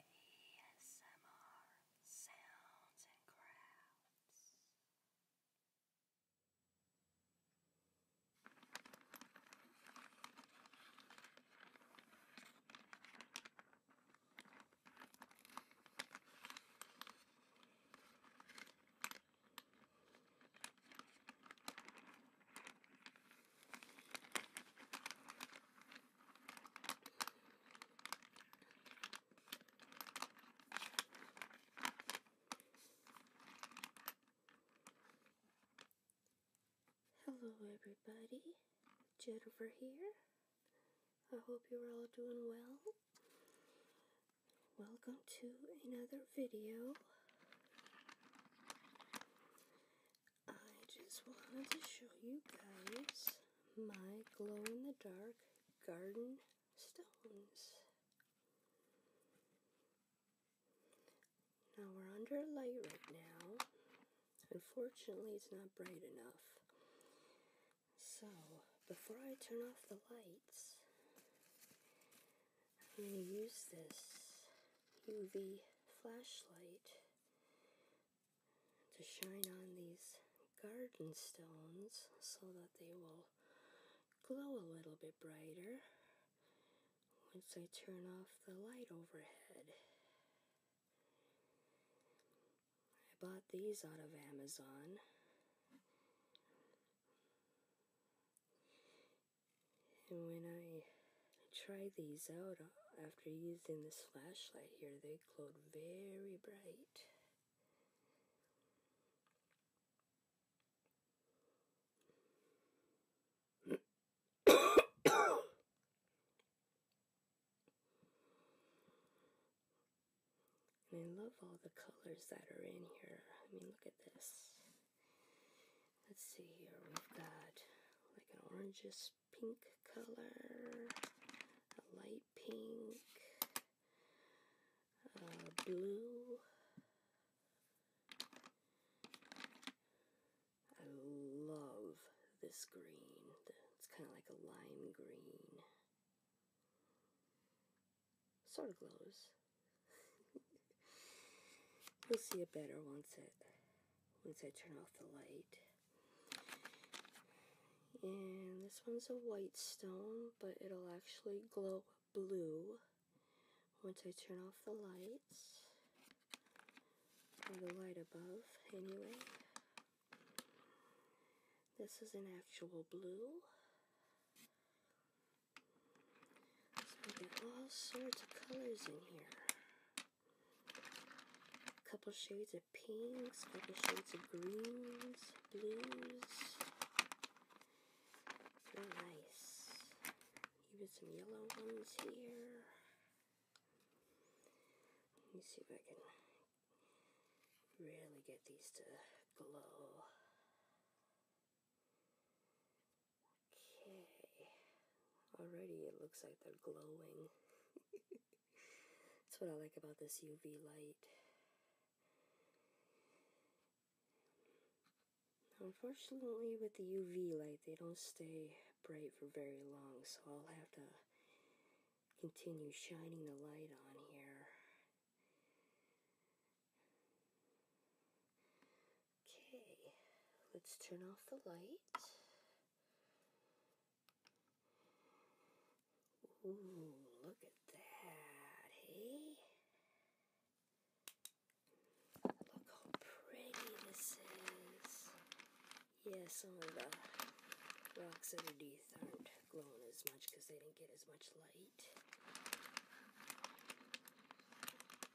ASMR Sounds and Crafts. Hello everybody, Jennifer here. I hope you're all doing well. Welcome to another video. I just wanted to show you guys my glow-in-the-dark garden stones. Now we're under a light right now. Unfortunately, it's not bright enough. So, before I turn off the lights, I'm going to use this UV flashlight to shine on these garden stones so that they will glow a little bit brighter once I turn off the light overhead. I bought these out of Amazon. And when I try these out uh, after using this flashlight here, they glowed very bright. I love all the colors that are in here. I mean, look at this. Let's see here, we've got like an orangish pink color, a light pink, uh, blue. I love this green. It's kind of like a lime green. Sort of glows. You'll see it better once it once I turn off the light. And this one's a white stone, but it'll actually glow blue once I turn off the lights. Or the light above, anyway. This is an actual blue. It's putting all sorts of colors in here. A couple shades of pinks, a couple shades of greens, blues. Very nice. Even some yellow ones here. Let me see if I can really get these to glow. Okay. Already it looks like they're glowing. That's what I like about this UV light. Unfortunately, with the UV light, they don't stay bright for very long, so I'll have to continue shining the light on here Okay, let's turn off the light. Ooh, look at that, hey? Look how pretty this is. Yeah, some of the rocks underneath aren't glowing as much because they didn't get as much light.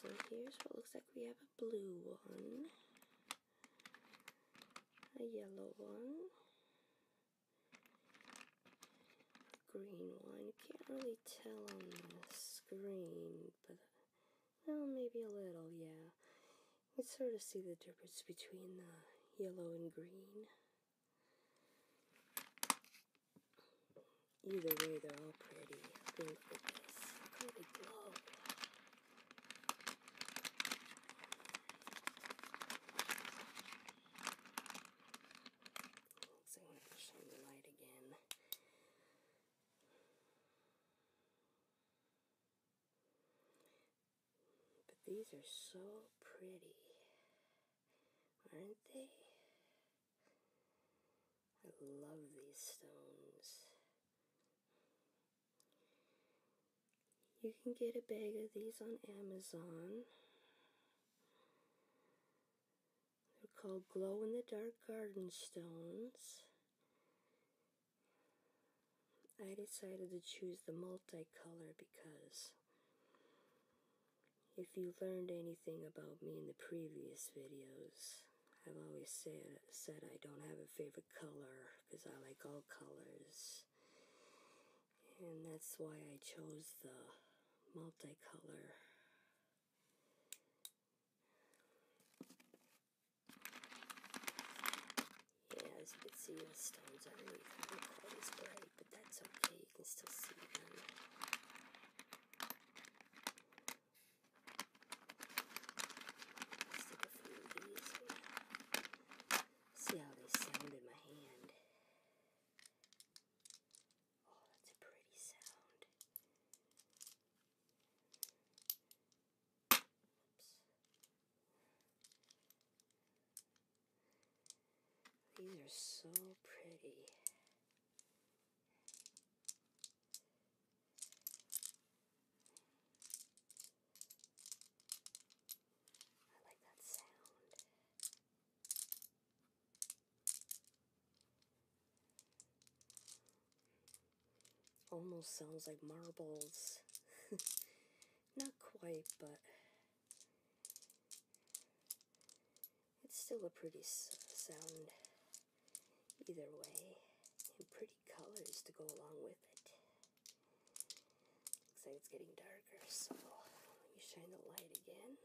So here's what looks like we have a blue one, a yellow one, green one. You can't really tell on the screen, but well, maybe a little, yeah. You can sort of see the difference between the yellow and green. Either way, they're all pretty. I mean, I'm going to shine the light again. But these are so pretty, aren't they? I love these stones. You can get a bag of these on Amazon. They're called glow in the dark garden stones. I decided to choose the multicolor because if you learned anything about me in the previous videos, I've always said, said I don't have a favorite color because I like all colors. And that's why I chose the multicolor. Yeah, as you can see, the stones underneath aren't quite as but that's okay. You can still see them let a few of these See how they sound in my hand. Oh, that's a pretty sound. These are so pretty. I like that sound. Almost sounds like marbles. Not quite, but it's still a pretty sound either way, and pretty colors to go along with it. Looks like it's getting darker, so let me shine the light again on these.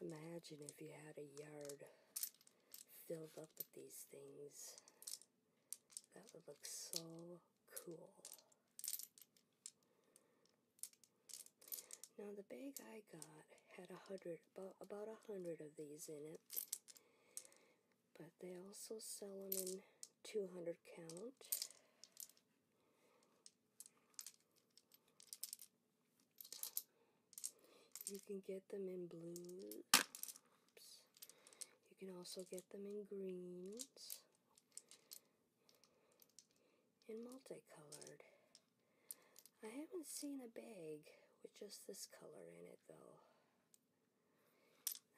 Imagine if you had a yard filled up with these things. That would look so cool. Now the bag I got had a hundred, about, about a hundred of these in it but they also sell them in 200 count. You can get them in blues. You can also get them in greens. And multicolored. I haven't seen a bag with just this color in it though.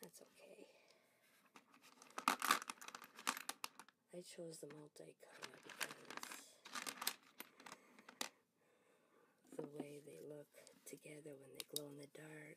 That's okay. I chose the multi color because the way they look together when they glow in the dark.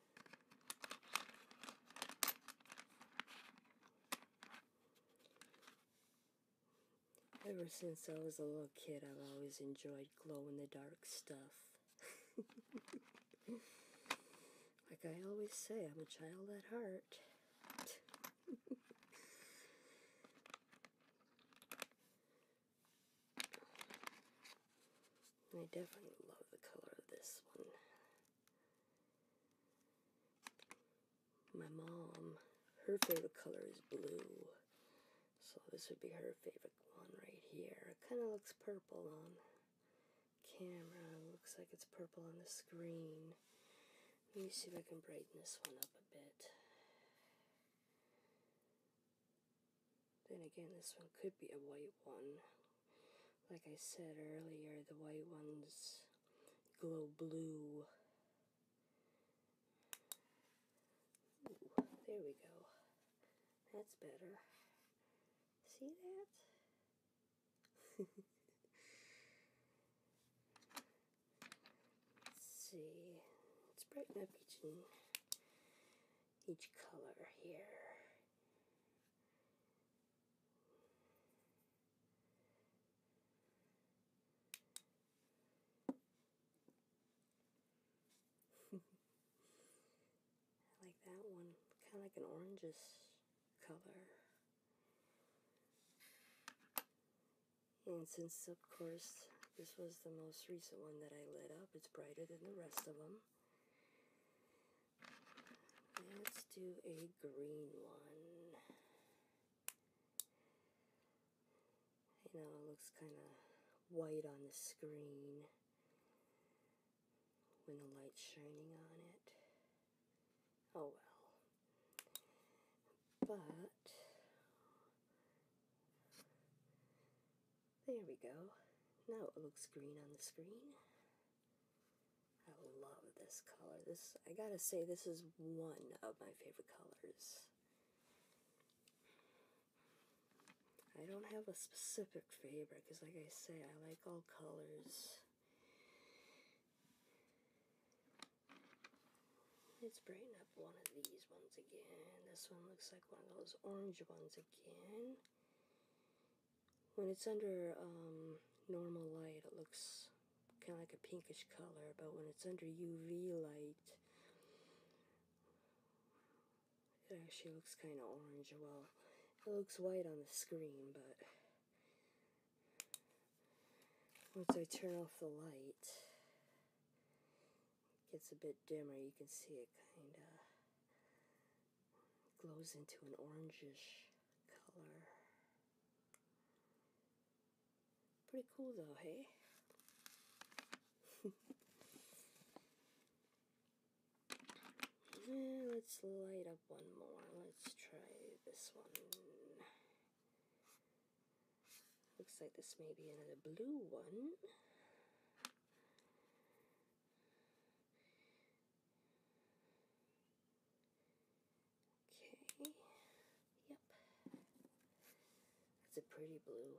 Ever since I was a little kid, I've always enjoyed glow in the dark stuff. like I always say, I'm a child at heart. I definitely love the color of this one. My mom, her favorite color is blue. So this would be her favorite one right here. It kind of looks purple on camera. looks like it's purple on the screen. Let me see if I can brighten this one up a bit. Then again, this one could be a white one. Like I said earlier, the white ones glow blue. there we go. That's better. See that? see. Let's brighten up each color here. I like that one, kind of like an orangish color. And since, of course, this was the most recent one that I lit up, it's brighter than the rest of them. Let's do a green one. You know it looks kind of white on the screen when the light's shining on it. Oh well. But there we go. Now it looks green on the screen. I love this color. This I gotta say this is one of my favorite colors. I don't have a specific favorite because like I say I like all colors. Let's brighten up one of these ones again. This one looks like one of those orange ones when it's under um, normal light, it looks kind of like a pinkish color, but when it's under UV light, it actually looks kind of orange. Well, it looks white on the screen, but once I turn off the light, gets a bit dimmer. You can see it kind of glows into an orangish color. Pretty cool though, hey? let's light up one more. Let's try this one. Looks like this may be another blue one. Okay. Yep. That's a pretty blue.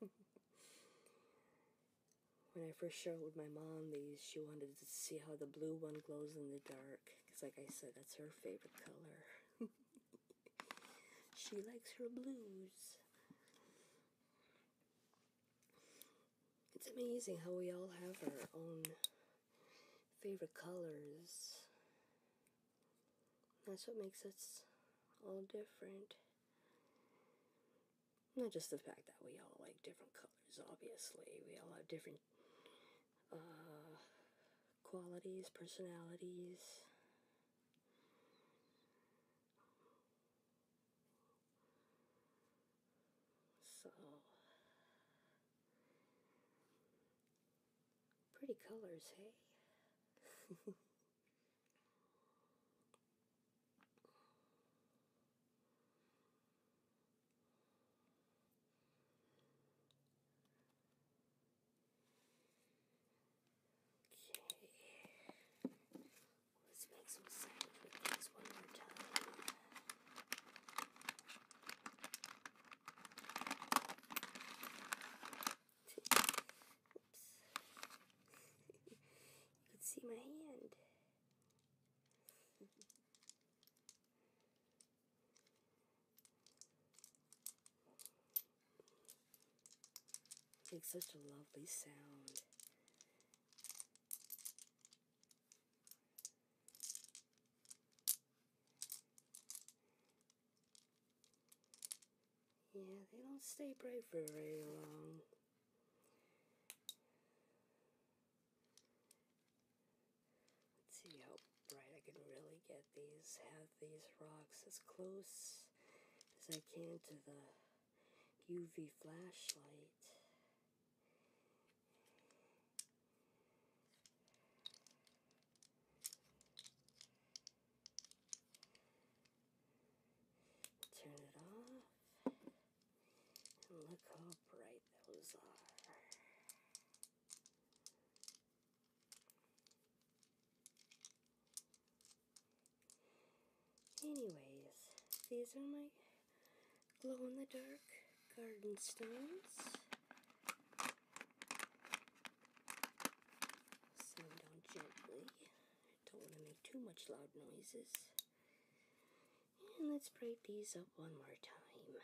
when I first showed my mom these, she wanted to see how the blue one glows in the dark. Because, like I said, that's her favorite color. She likes her blues. It's amazing how we all have our own favorite colors. That's what makes us all different. Not just the fact that we all like different colors, obviously. We all have different uh, qualities, personalities, so, pretty colors, hey? Okay. Let's make some sound with these one more time. Oops. you can see my hand. It's such a lovely sound. Yeah, they don't stay bright for very long. Let's see how bright I can really get these have these rocks as close as I can to the UV flashlight. Turn it off. look how bright those are. Anyways, these are my glow-in-the-dark garden stones. Set them gently. Don't want to make too much loud noises. And let's break these up one more time.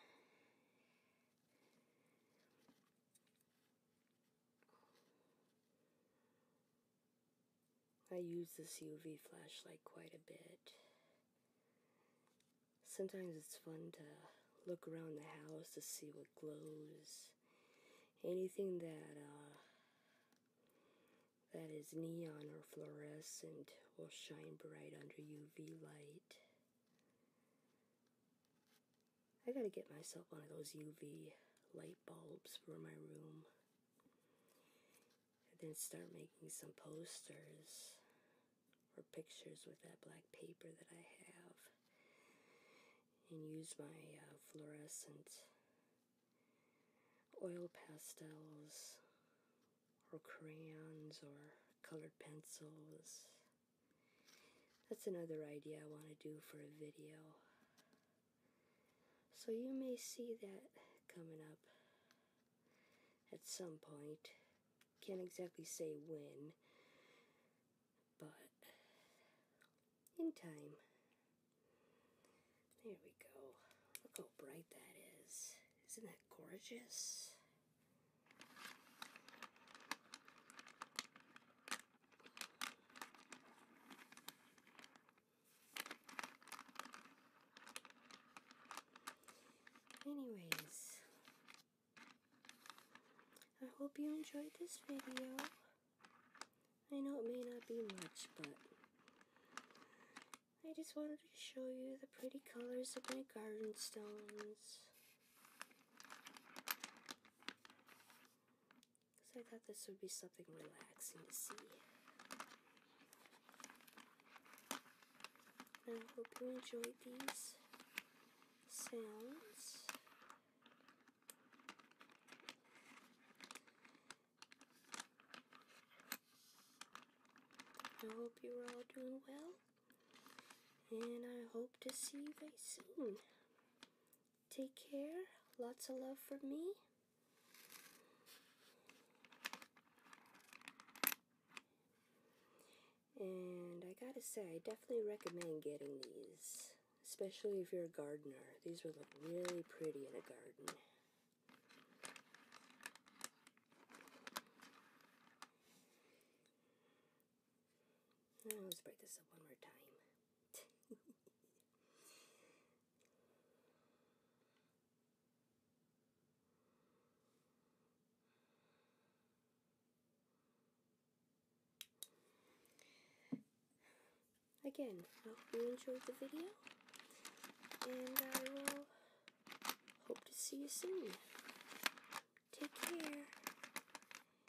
I use this UV flashlight quite a bit. Sometimes it's fun to look around the house to see what glows. Anything that uh, that is neon or fluorescent will shine bright under UV light. I gotta get myself one of those UV light bulbs for my room. And then start making some posters or pictures with that black paper that I have. And use my uh, fluorescent oil pastels or crayons or colored pencils that's another idea I want to do for a video. So you may see that coming up at some point. Can't exactly say when, but in time. There we go. Look how bright that is. Isn't that gorgeous? Anyways, I hope you enjoyed this video. I know it may not be much, but I just wanted to show you the pretty colors of my garden stones. Because I thought this would be something relaxing to see. I hope you enjoyed these sounds. I hope you're all doing well. And I hope to see you very soon. Take care. Lots of love from me. And I gotta say, I definitely recommend getting these. Especially if you're a gardener. These would look really pretty in a garden let's break this up one more time. Again, I hope you enjoyed the video, and I will hope to see you soon. Take care,